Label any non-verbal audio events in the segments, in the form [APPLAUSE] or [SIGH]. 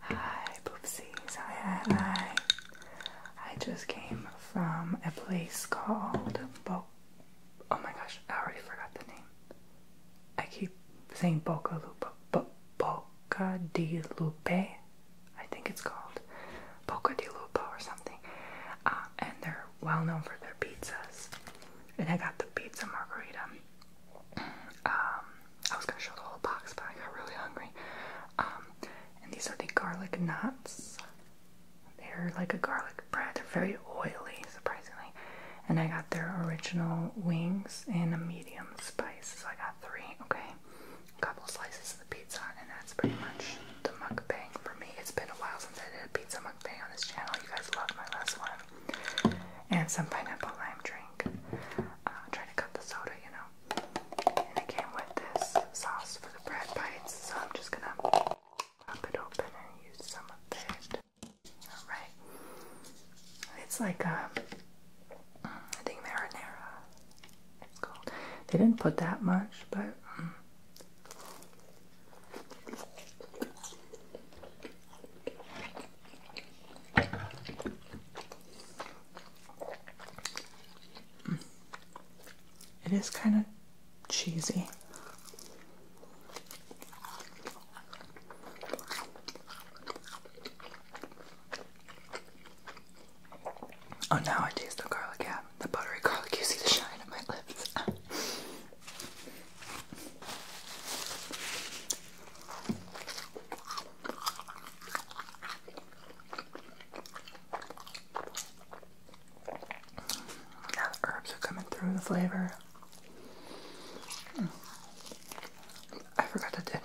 Hi, poopsies. Hi, hi, I just came from a place called Bo. Oh my gosh, I already forgot the name. I keep saying Boca Lupa, Bo Boca di Lupo. I think it's called Boca di Lupo or something. Uh, and they're well known for their pizzas. And I got the pizza margarita. Um, I was gonna show the whole box, but I got really hungry. Um, and these are the garlic knots. They're like a garlic bread. They're very oily, surprisingly. And I got their original wings in a medium spice, so I got three. Okay, a couple slices of the pizza, and that's pretty much the mukbang for me. It's been a while since I did a pizza mukbang on this channel. You guys loved my last one. And some pineapple lime drink drink. Uh, trying to cut the soda, you know. And it came with this sauce for the bread bites, so I'm just gonna pop it open and use some of it. Alright. It's like a, um, I think marinara. They didn't put that much, but. Mm. It is kind of cheesy. Oh, now I taste the garlic. Yeah, the buttery garlic. You see the shine on my lips. [LAUGHS] Yeah, the herbs are coming through the flavor. Hmm. I forgot to dip.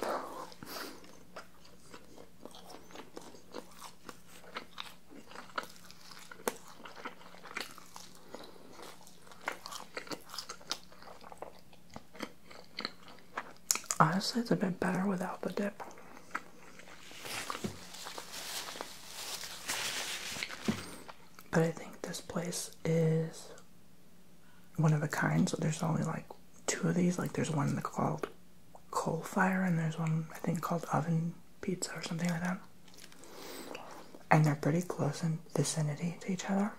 Honestly, it's a bit better without the dip. But I think this place is one of a kind, so there's only like two of these. Like, there's one called Coal Fire, and there's one I think called Oven Pizza or something like that and they're pretty close in vicinity to each other.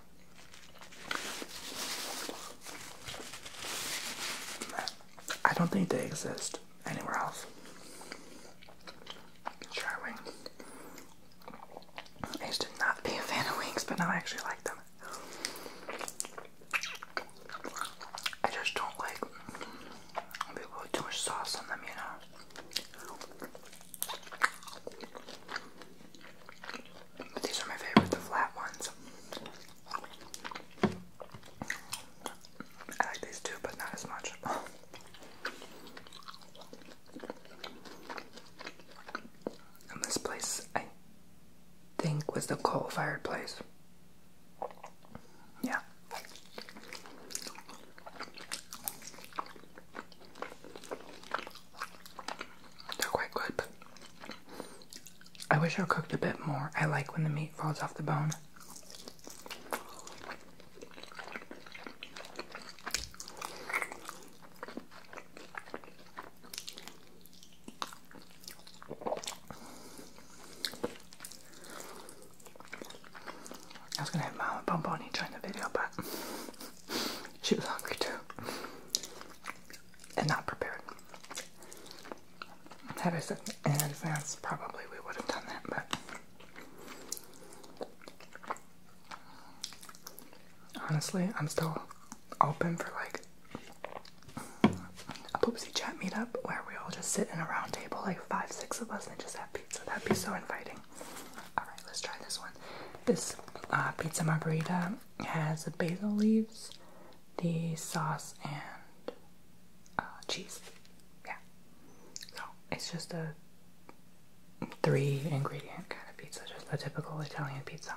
I don't think they exist anywhere else. Try I used to not be a fan of wings, but now I actually like them. I just don't like people with too much sauce on them, you know. These are my favorite, the flat ones. I like these too, but not as much. this place, I think, was the coal fired place. Yeah. They're quite good, I wish I cooked a bit more. I like when the meat falls off the bone. I was gonna have Mama Bonbon join the video, but [LAUGHS] she was hungry too. And not prepared. Had I said in advance, probably we would have done that, but honestly, I'm still open for like a poopsie chat meetup where we all just sit in a round table, like five, six of us, and just have pizza. That'd be so inviting. Alright, let's try this one. This uh, pizza margherita has basil leaves, the sauce, and uh, cheese. Yeah. So it's just a three ingredient kind of pizza, just a typical Italian pizza.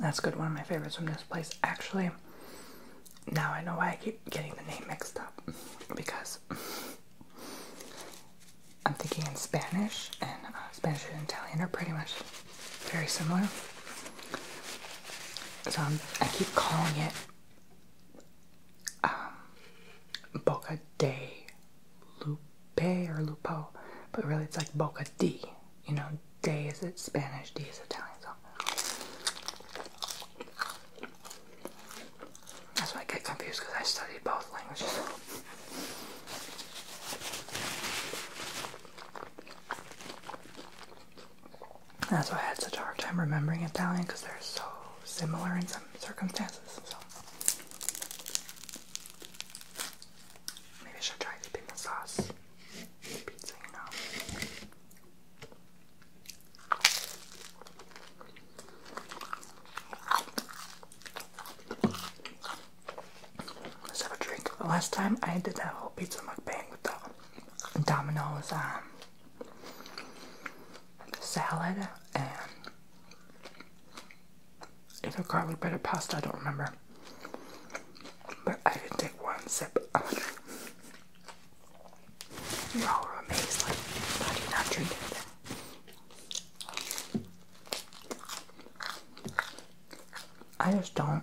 That's good. One of my favorites from this place. Actually, now I know why I keep getting the name mixed up because I'm thinking in Spanish, and uh, Spanish and Italian are pretty much very similar. So I keep calling it um, Boca de Lupe or Lupo, but really it's like Boca di. You know, de is it Spanish, di is Italian. So that's why I get confused because I studied both languages. That's why I had such a hard time remembering Italian because they're so similar in some circumstances maybe I should try the pizza sauce pizza, you know. Let's have a drink. last time I did that whole pizza mukbang with the Domino's um, salad and a garlic bread or pasta, I don't remember. But I didn't take one sip You're all amazed, like, how do you not drink I just don't.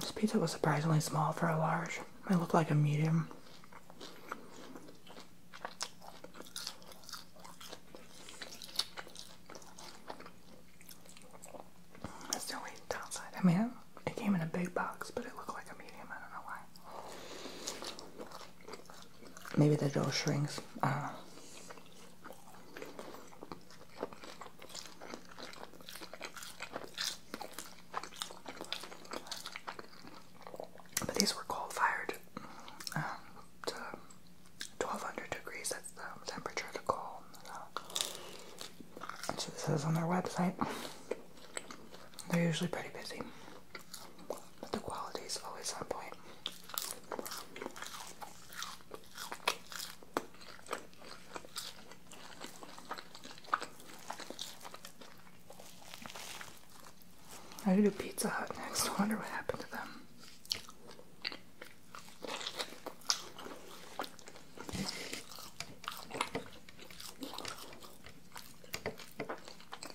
This pizza was surprisingly small for a large. It looked like a medium. That's the only downside. I mean, it came in a big box, but it looked like a medium. I don't know why. Maybe the dough shrinks. I But these were coal fired um, to 1200 degrees, that's the temperature of the coal. So, so this is on their website. They're usually pretty busy. The quality is always on point. I do Pizza Hut next. I wonder what happened to them.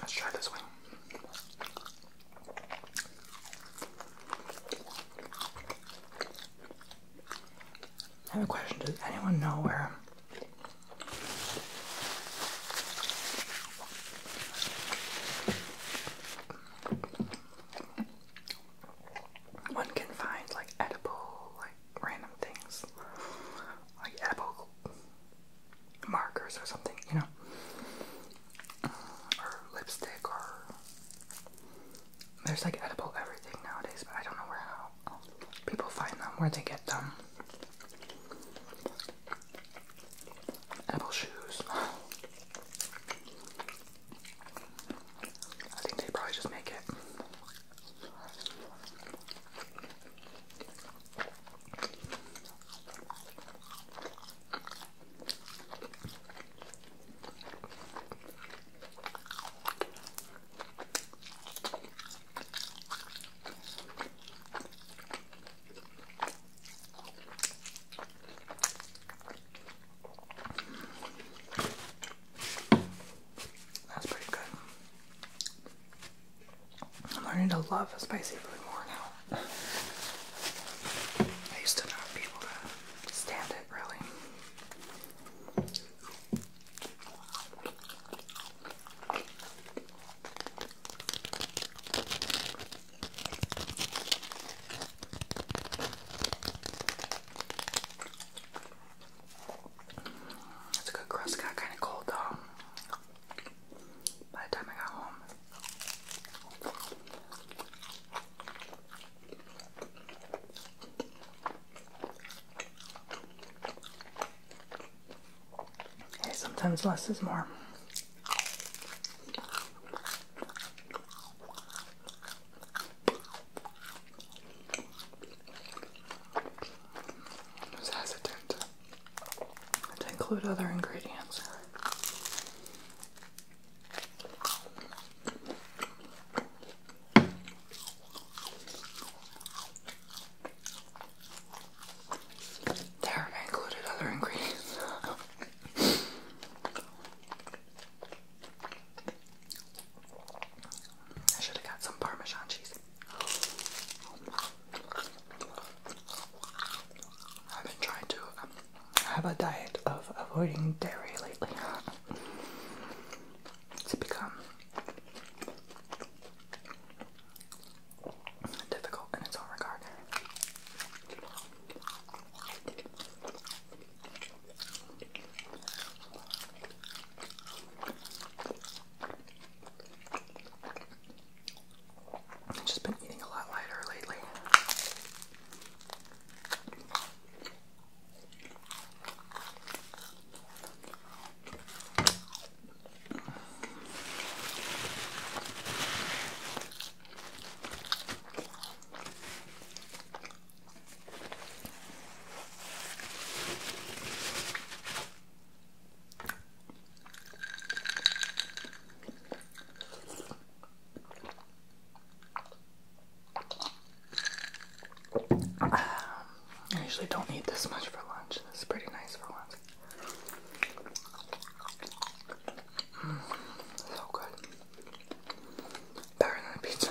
Let's try this one. I have a question. Does anyone know where one can find like edible, like like random things like apple markers or something, you know, or lipstick or there's like edible everything nowadays, but I don't know where how people find them, where they get them. Apple shoes. I think they probably just make it. That's pretty good. I'm learning to love spicy food more now. I used to not be able to stand it really. It's a good crust. got kind of cold though. By the time I got home. Hey, sometimes less is more. I was hesitant to include other ingredients. There, included other ingredients. [LAUGHS] I should have got some Parmesan cheese. I've been trying to um, have a diet of avoiding dairy lately. it's become difficult in its own regard. I've just been eating a lot lighter lately. I usually don't eat this much for lunch. This is pretty nice for lunch. Mm, so good better than a pizza.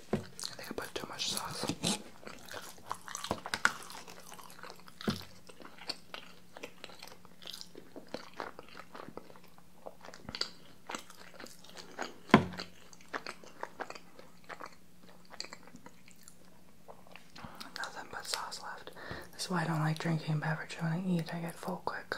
I think I put too much sauce. Nothing but sauce left. This is why I don't like drinking beverages when I eat. I get full quick.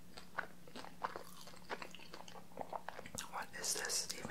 What is this even?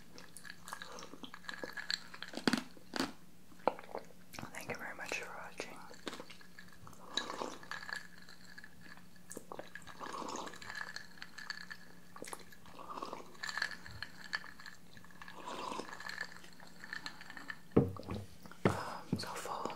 Thank you very much for watching. Um, so full.